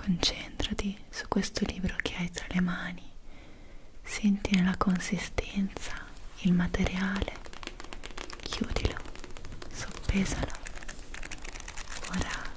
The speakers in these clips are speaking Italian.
Concentrati su questo libro che hai tra le mani, sentine la consistenza, il materiale, chiudilo, soppesalo, ora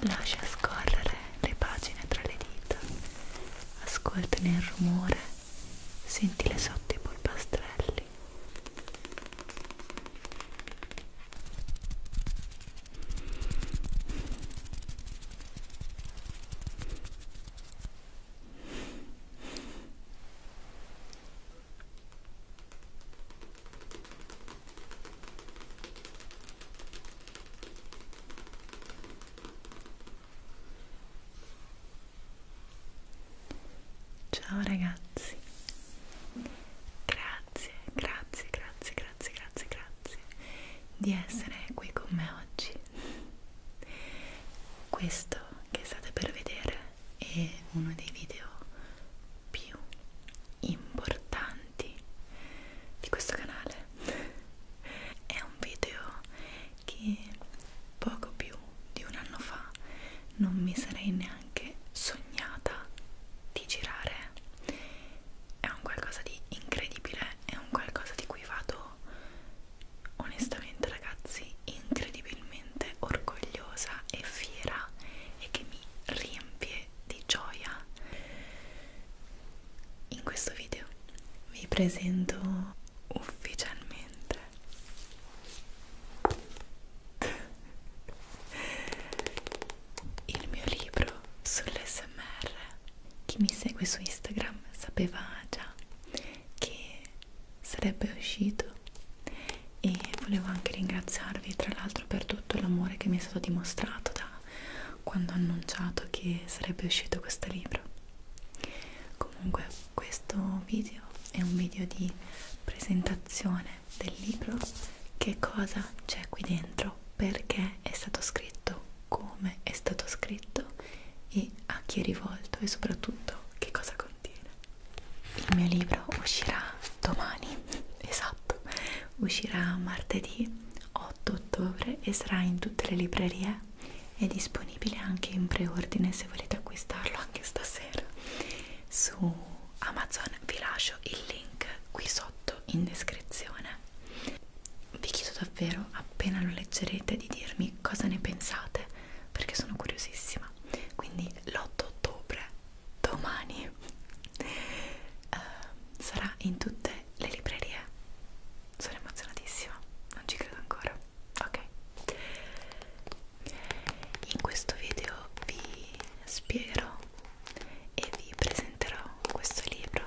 lascia scorrere le pagine tra le dita ascoltane il rumore, sentile sotto i polpastrelli. Ecco Ciao ragazzi, grazie, grazie, grazie, grazie, grazie, grazie di essere qui con me oggi. Questo che state per vedere è uno dei video più importanti di questo canale è un video che poco più di un anno fa non mi sarei neanche sognata di girare è un qualcosa di incredibile è un qualcosa di cui vado onestamente ragazzi incredibilmente orgogliosa e fiera e che mi riempie di gioia in questo video vi presento ufficialmente il mio libro sull'SMR. Chi mi segue su Instagram sapeva già che sarebbe uscito e volevo anche ringraziarvi tra l'altro per tutto l'amore che mi è stato dimostrato da quando ho annunciato che sarebbe uscito questo libro comunque questo video è un video di presentazione del libro che cosa c'è qui dentro perché è stato scritto come è stato scritto e a chi è rivolto e soprattutto che cosa contiene il mio libro uscirà domani esatto uscirà martedì 8 ottobre e sarà in tutte le librerie è disponibile anche in preordine se volete acquistarlo anche stasera su Amazon vi lascio il link qui sotto in descrizione vi chiedo davvero appena lo leggerete di dirmi cosa ne pensate perché sono curiosissima quindi l'8 ottobre domani uh, sarà in tutte le librerie sono emozionatissima, non ci credo ancora. Ok, in questo video vi spiegherò e vi presenterò questo libro.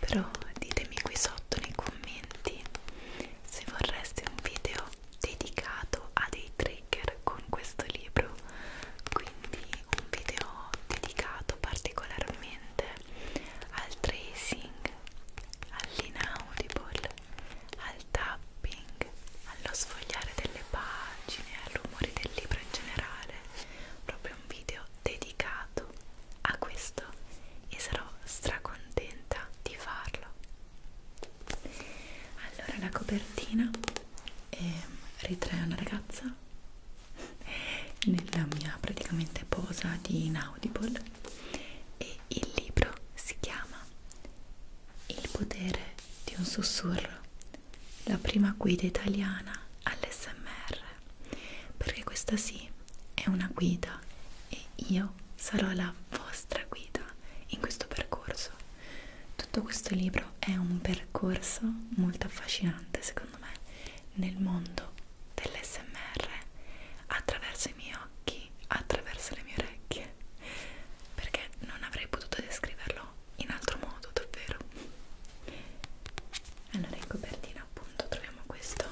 Però ditemi qui sotto nei commenti se vorreste un video dedicato a dei trigger con questo libro, quindi un video dedicato particolarmente direttamente al tracing, all'inaudible, al tapping, allo sfogliare delle pagine, al rumore del libro in generale, proprio un video dedicato a questo e sarò stracontenta di farlo. Allora la copertina eh, ritrae una ragazza nella mia praticamente posa di Inaudible e il libro si chiama Il potere di un sussurro, la prima guida italiana all'SMR perché questa sì è una guida e io sarò la vostra guida in questo percorso. Tutto questo libro è un percorso molto affascinante secondo me nel mondo dell'SMR attraverso i miei occhi, attraverso le mie orecchie, perché non avrei potuto descriverlo in altro modo, davvero. Allora, in copertina, appunto, troviamo questo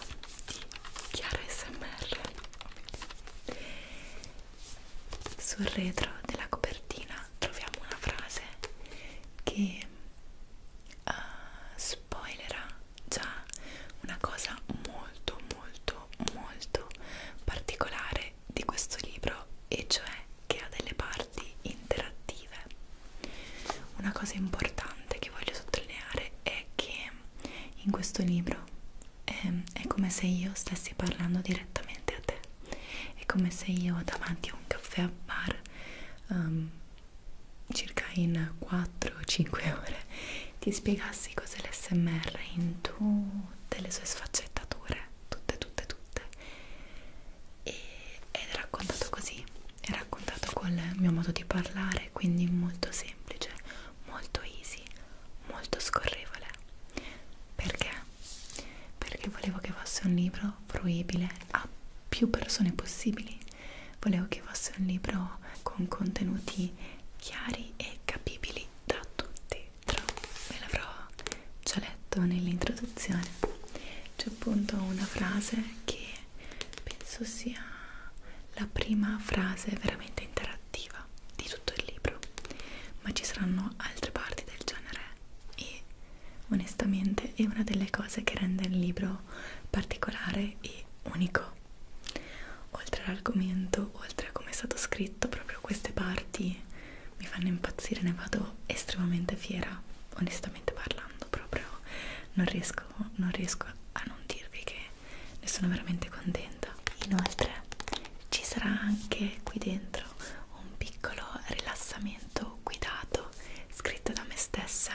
di Chiara SMR. Sul retro della copertina troviamo una frase che uh, spoilerà ah, già una cosa molto molto molto particolare di questo libro e cioè che ha delle parti interattive una cosa importante che voglio sottolineare è che in questo libro eh, è come se io stessi parlando direttamente a te è come se io davanti a un caffè a bar um, circa in 4-5 ore ti spiegassi cos'è l'SMR in tutte le sue sfaccettature, tutte, tutte, tutte. E, ed è raccontato così, è raccontato col mio modo di parlare, quindi molto semplice, molto easy, molto scorrevole. Perché? Perché volevo che fosse un libro fruibile a più persone possibili volevo che fosse un libro con contenuti chiari e capibili da tutti però ve l'avrò già letto nell'introduzione c'è appunto una frase che penso sia la prima frase veramente interattiva di tutto il libro ma ci saranno altre parti del genere e onestamente è una delle cose che rende il libro particolare e unico oltre all'argomento oltre a come è stato scritto proprio queste parti mi fanno impazzire ne vado estremamente fiera onestamente parlando proprio non riesco, non riesco a non dirvi che ne sono veramente contenta inoltre ci sarà anche qui dentro un piccolo rilassamento guidato scritto da me stessa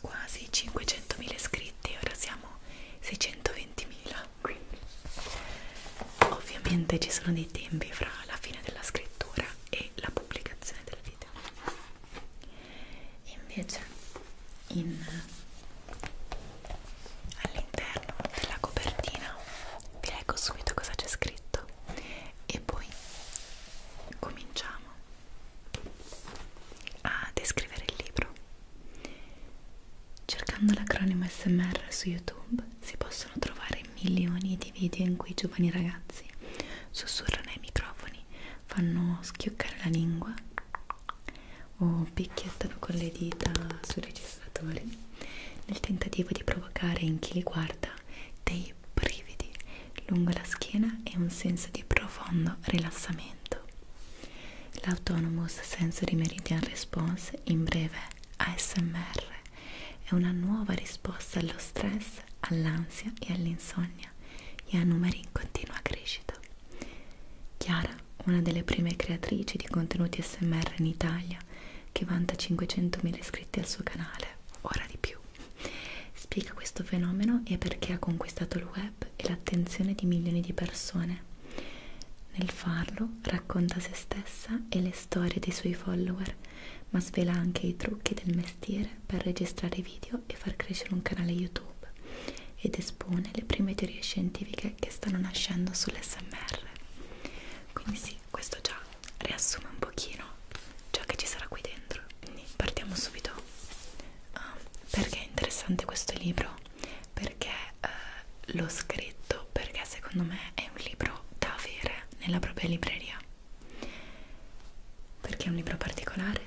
quasi 500.000 iscritti, ora siamo 620.000, quindi ovviamente ci sono dei tempi fra la fine della scrittura e la pubblicazione del video. Invece in, all'interno della copertina vi leggo subito cosa c'è scritto e poi cominciamo a descrivere il libro. Cercando l'acronimo SMR su YouTube si possono trovare milioni di video in cui giovani ragazzi sussurrano ai microfoni, fanno schioccare la lingua o picchiettano con le dita sui registratori nel tentativo di provocare in chi li guarda dei dei brividi lungo la schiena e un senso di profondo rilassamento. L'Autonomous Sensory Meridian Response, in breve ASMR, è una nuova risposta allo stress, all'ansia e all'insonnia e ha numeri in continua crescita. Chiara, una delle prime creatrici di contenuti SMR in Italia, che vanta 500.000 iscritti al suo canale, ora di più, Spiega questo fenomeno e perché ha conquistato il web e l'attenzione di milioni di persone. Nel farlo racconta se stessa e le storie dei suoi follower, ma svela anche i trucchi del mestiere per registrare video e far crescere un canale YouTube ed espone le prime teorie scientifiche che stanno nascendo sull'SMR. Quindi sì, questo già riassume un pochino ciò che ci sarà qui dentro quindi partiamo subito uh, perché è interessante questo libro perché uh, l'ho scritto perché secondo me è un libro da avere nella propria libreria perché è un libro particolare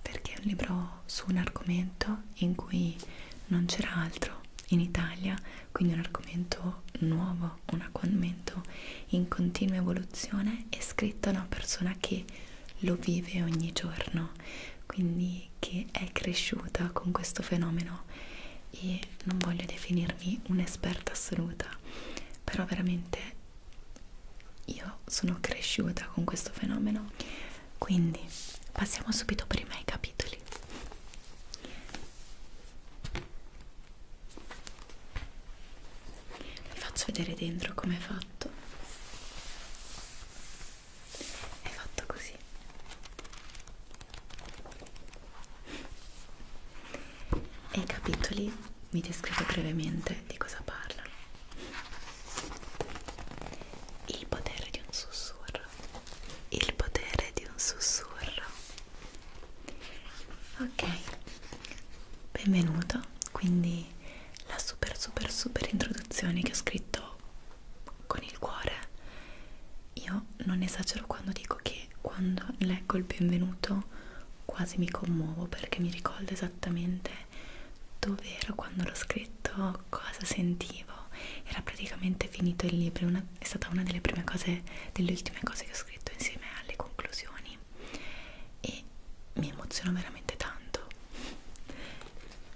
perché è un libro su un argomento in cui non c'era altro in Italia quindi un argomento nuovo una, strumento in continua evoluzione è scritto da una persona che lo vive ogni giorno, quindi che è cresciuta con questo fenomeno e non voglio definirmi un'esperta assoluta, però veramente io sono cresciuta con questo fenomeno, quindi passiamo subito prima ai capitoli vi faccio vedere dentro come è fatto è fatto così e i capitoli mi descrivo brevemente di cosa parlano il potere di un sussurro il potere di un sussurro ok benvenuto quindi la super super super introduzione che ho scritto con il cuore io non esagero quando dico che quando leggo il benvenuto quasi mi commuovo perché mi ricordo esattamente dove ero quando l'ho scritto cosa sentivo era praticamente finito il libro una, è stata una delle prime cose delle ultime cose che ho scritto insieme alle conclusioni e mi emoziona veramente tanto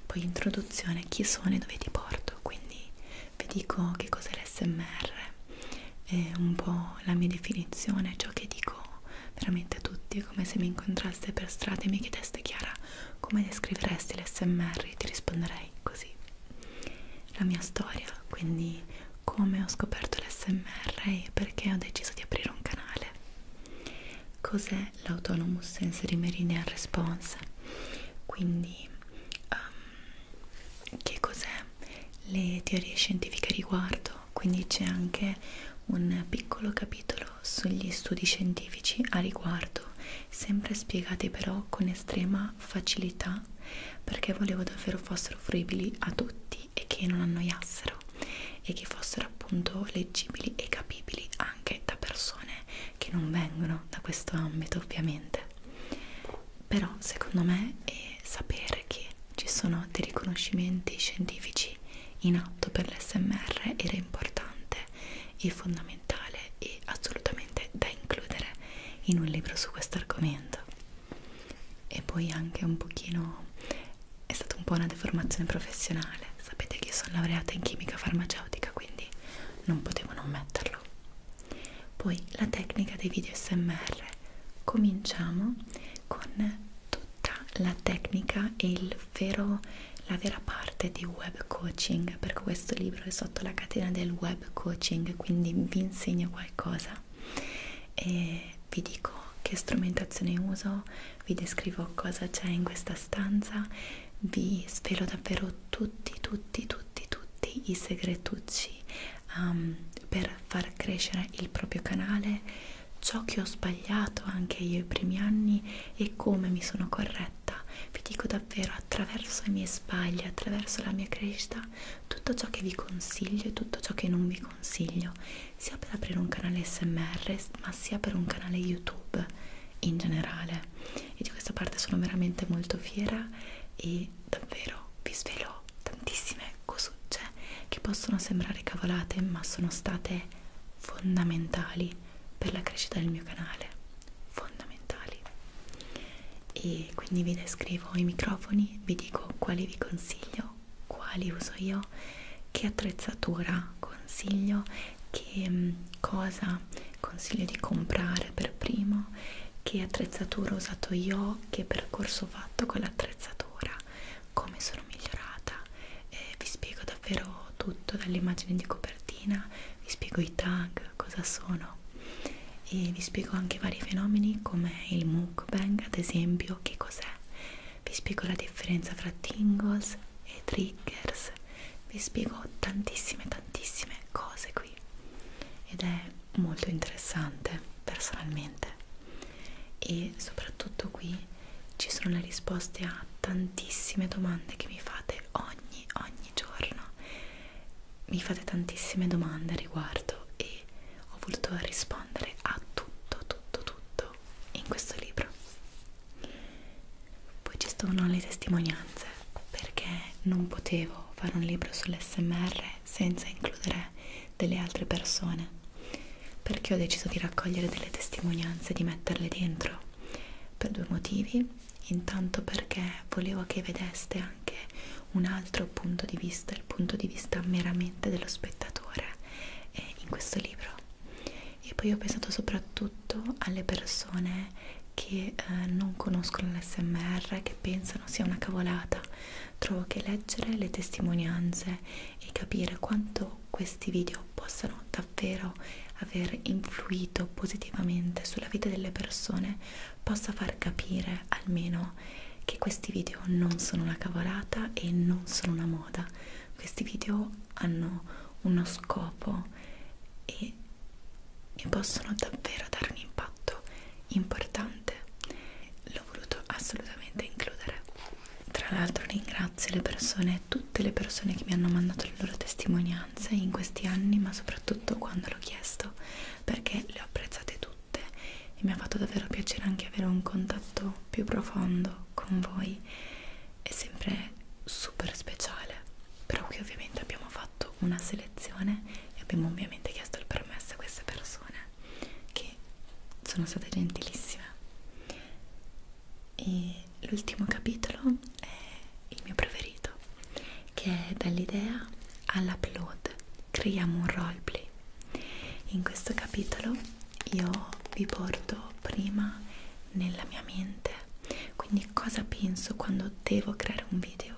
poi introduzione chi sono e dove ti porto quindi vi dico che cos'è l'SMR è un po' la mia definizione ciò che dico veramente a tutti è come se mi incontraste per strada e mi chiedeste Chiara come descriveresti l'SMR ti risponderei così la mia storia quindi come ho scoperto l'SMR e perché ho deciso di aprire un canale. Cos'è l'Autonomous Sensory Meridian Response? Quindi, um, che cos'è? Le teorie scientifiche riguardo, quindi c'è anche un piccolo capitolo sugli studi scientifici a riguardo, sempre spiegati però con estrema facilità perché volevo davvero fossero fruibili a tutti facili e che non annoiassero e che fossero appunto leggibili e capibili anche da persone che non vengono da questo ambito ovviamente però secondo me è sapere che ci sono dei riconoscimenti scientifici in atto per l'SMR era importante e fondamentale e assolutamente da includere in un libro su questo argomento e poi anche un pochino è stata un po' una deformazione professionale sapete che io sono laureata in chimica farmaceutica quindi non potevo non metterlo poi la tecnica dei video smr cominciamo con tutta la tecnica e il vero la vera parte di web coaching perché questo libro è sotto la catena del web coaching quindi vi insegno qualcosa e vi dico che strumentazione uso, vi descrivo cosa c'è in questa stanza, vi svelo davvero tutti, tutti, tutti, tutti i segretucci um, per far crescere il proprio canale, ciò che ho sbagliato anche io i primi anni e come mi sono corretta. Vi dico davvero attraverso i miei sbagli, attraverso la mia crescita, tutto ciò che vi consiglio e tutto ciò che non vi consiglio sia per aprire un canale smr ma sia per un canale youtube in generale e di questa parte sono veramente molto fiera e davvero vi svelo tantissime cosucce che possono sembrare cavolate ma sono state fondamentali per la crescita del mio canale fondamentali e quindi vi descrivo i microfoni vi dico quali vi consiglio quali uso io, che attrezzatura consiglio, che mm, cosa consiglio di comprare per primo, che attrezzatura ho usato io, che percorso ho fatto con l'attrezzatura, come sono migliorata. Eh, vi spiego davvero tutto dall'immagine di copertina, vi spiego i tag, cosa sono e vi spiego anche vari fenomeni come il mukbang ad esempio, che cos'è? Vi spiego la differenza fra tingles e triggers, vi spiego tantissime tantissime cose qui ed è molto interessante personalmente e soprattutto qui ci sono le risposte a tantissime domande che mi fate ogni ogni giorno mi fate tantissime domande a riguardo e cui ho voluto rispondere a tutto, tutto, tutto in questo libro. Poi ci sono le testimonianze perché non potevo fare un libro sull'SMR senza includere delle altre persone perché ho deciso di raccogliere delle testimonianze e di metterle dentro per due motivi intanto perché volevo che vedeste anche un altro punto di vista, il punto di vista meramente dello spettatore eh, in questo libro. E poi ho pensato soprattutto alle persone che eh, non conoscono l'SMR, che pensano sia una cavolata. Trovo che leggere le testimonianze e capire quanto questi video possano davvero aver influito positivamente sulla vita delle persone possa far capire almeno che questi video non sono una cavolata e non sono una moda, questi video hanno uno scopo e mi possono davvero dare un impatto importante. L'ho voluto assolutamente includere. Tra l'altro ringrazio le persone, tutte le persone che mi hanno mandato le loro testimonianze in questi anni, ma soprattutto quando l'ho chiesto, perché le ho apprezzate tutte tutte e mi ha fatto davvero piacere anche avere un contatto più profondo con voi è sempre super speciale però qui ovviamente abbiamo fatto una selezione e abbiamo ovviamente chiesto il permesso a queste persone che sono state gentilissime e l'ultimo capitolo è il mio preferito che è dall'idea all'upload creiamo un roleplay voi. In questo capitolo io vi porto prima nella mia mente, quindi cosa penso quando devo creare un video,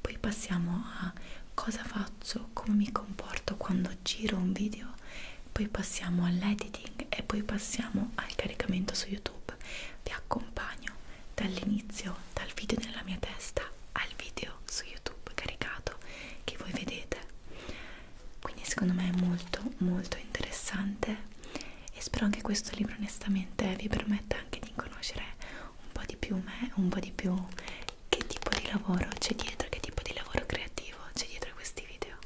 poi passiamo a cosa faccio, come mi comporto quando giro un video, poi passiamo all'editing e poi passiamo al caricamento su YouTube. Vi accompagno dall'inizio, dal video nella mia testa al video video su YouTube caricato che voi vedete. Quindi secondo me è molto molto interessante e spero anche questo libro onestamente vi permetta anche di conoscere un po' di più me, un po' di più che tipo di lavoro c'è dietro, che tipo di lavoro creativo c'è dietro a questi video.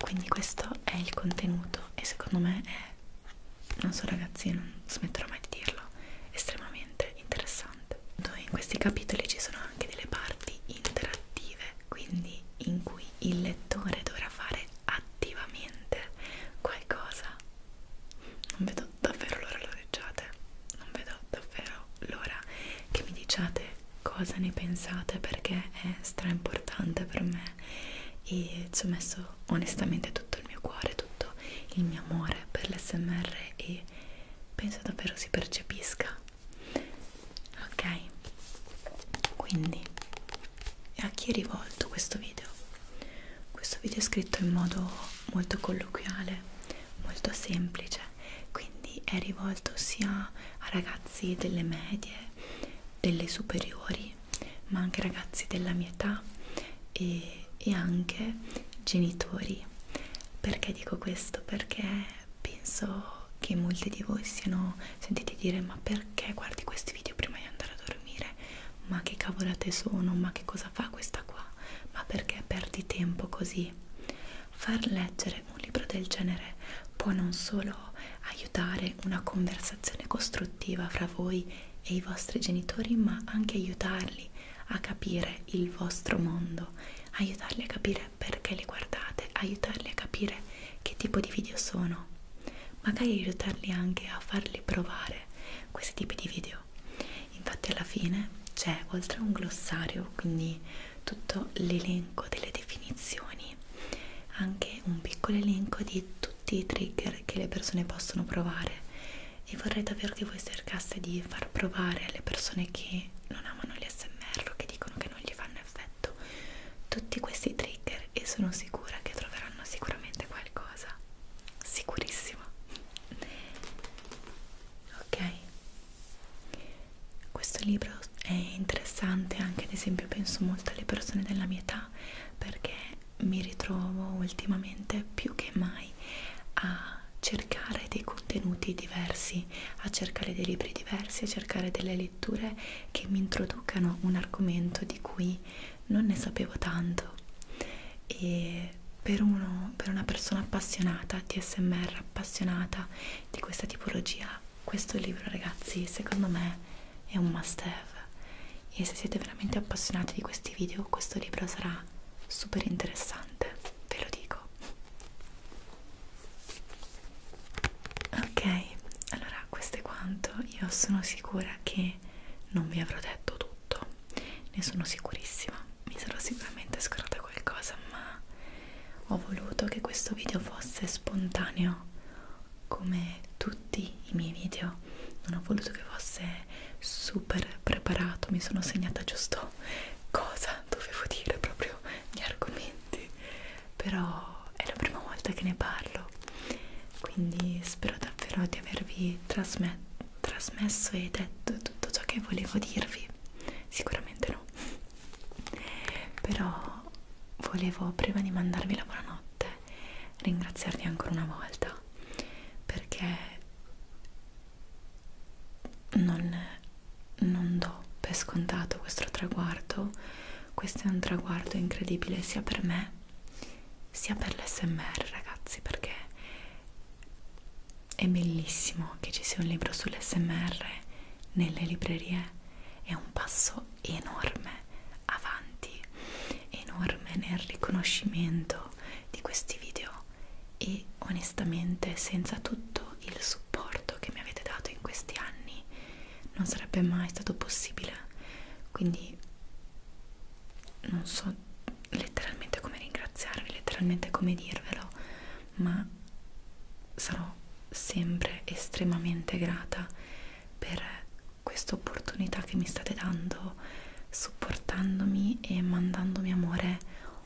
Quindi questo è il contenuto e secondo me è non so ragazzi, non smetterò mai di dirlo, estremamente veramente interessante. In questi capitoli ci sono anche delle parti interattive, quindi in cui il lettore dovrà fare attivamente qualcosa. Non vedo davvero l'ora lo leggiate, non vedo davvero l'ora che mi diciate cosa ne pensate perché è stra importante per me e ci ho messo onestamente tutto il mio cuore, tutto il mio amore per l'SMR e penso davvero si percepisca ok quindi a chi è rivolto questo video questo video è scritto in modo molto colloquiale molto semplice quindi è rivolto sia a ragazzi delle medie delle superiori ma anche ragazzi della mia età e e anche genitori. Perché dico questo? Perché penso che molti di voi siano sentiti dire ma perché guardi questi video prima di andare a dormire? Ma che cavolate sono? Ma che cosa fa questa qua? Ma perché perdi tempo così? Far leggere un libro del genere può non solo aiutare una conversazione costruttiva fra voi e i vostri genitori, ma anche aiutarli a capire il vostro mondo, aiutarli a capire perché li guardate, aiutarli a capire che tipo di video sono, magari aiutarli anche a farli provare questi tipi di video. Infatti alla fine c'è oltre a un glossario, quindi tutto l'elenco delle definizioni, anche un piccolo elenco di tutti i trigger che le persone possono provare e vorrei davvero che voi cercaste di far provare alle persone che non amano gli smr o che dicono che non gli fanno effetto tutti questi trigger e sono sicura che troveranno sicuramente qualcosa sicurissima ok questo libro è interessante anche ad esempio penso molto alle persone della mia età perché mi ritrovo ultimamente più che mai a cercare dei contenuti diversi, a cercare dei libri diversi, a cercare delle letture che mi introducano un argomento di cui non ne sapevo tanto e per, uno, per una persona appassionata, TSMR appassionata di questa tipologia, questo libro ragazzi secondo me è un must have e se siete veramente appassionati di questi video questo libro sarà super interessante, ve lo dico. Ok, allora questo è quanto. Io sono sicura che non vi avrò detto tutto, ne sono sicurissima. Mi sarò sicuramente scordata qualcosa, ma ho voluto che questo video fosse spontaneo come tutti i miei video no, non ho voluto che fosse super preparato, mi sono segnata giusto cosa dovevo dire, proprio gli argomenti, però è la prima volta che ne parlo, quindi spero davvero di avervi trasme trasmesso e detto tutto ciò che volevo dirvi, sicuramente no, però volevo prima di mandarvi la buonanotte ringraziarvi ancora una volta perché non, non do per scontato questo traguardo, questo è un traguardo incredibile sia per me sia per l'SMR ragazzi perché è bellissimo che ci sia un libro sull'SMR nelle librerie, è un passo enorme avanti, enorme nel riconoscimento sviluppo di questi video e onestamente senza tutto il supporto che mi avete dato in questi anni non sarebbe mai stato possibile quindi non so letteralmente come ringraziarvi letteralmente come dirvelo ma sarò sempre estremamente grata per questa opportunità che mi state dando supportandomi e mandandomi amore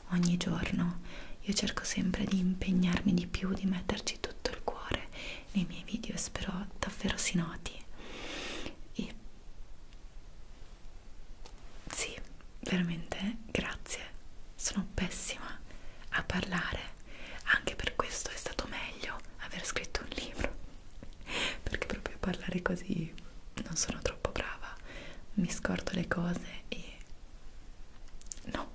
ogni giorno io cerco sempre di impegnarmi di più di metterci tutto il cuore nei miei video e spero davvero si noti e sì veramente grazie sono pessima a parlare anche per questo è stato meglio aver scritto un libro perché proprio a parlare così non sono troppo brava, mi scordo le cose e no.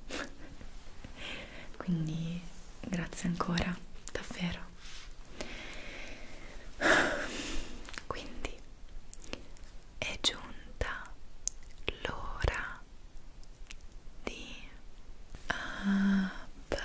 Quindi grazie ancora, davvero. Quindi è giunta l'ora di abbandonare ah,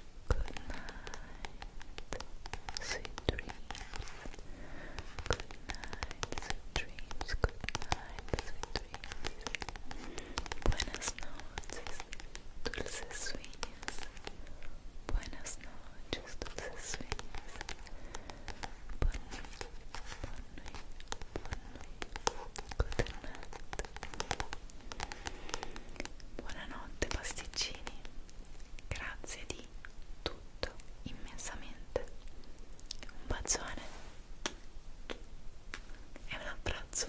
Good night, sweet dreams. Good night, sweet dreams. Good night, sweet dreams. Buenas noches, dulces sueños. Buenas noches, dulces sueños. Bon nuit, bon Good night. Buonanotte pasticcini, grazie di tutto immensamente. Un bacione e un abbraccio.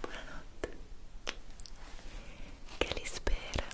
Buonanotte. Che li spera.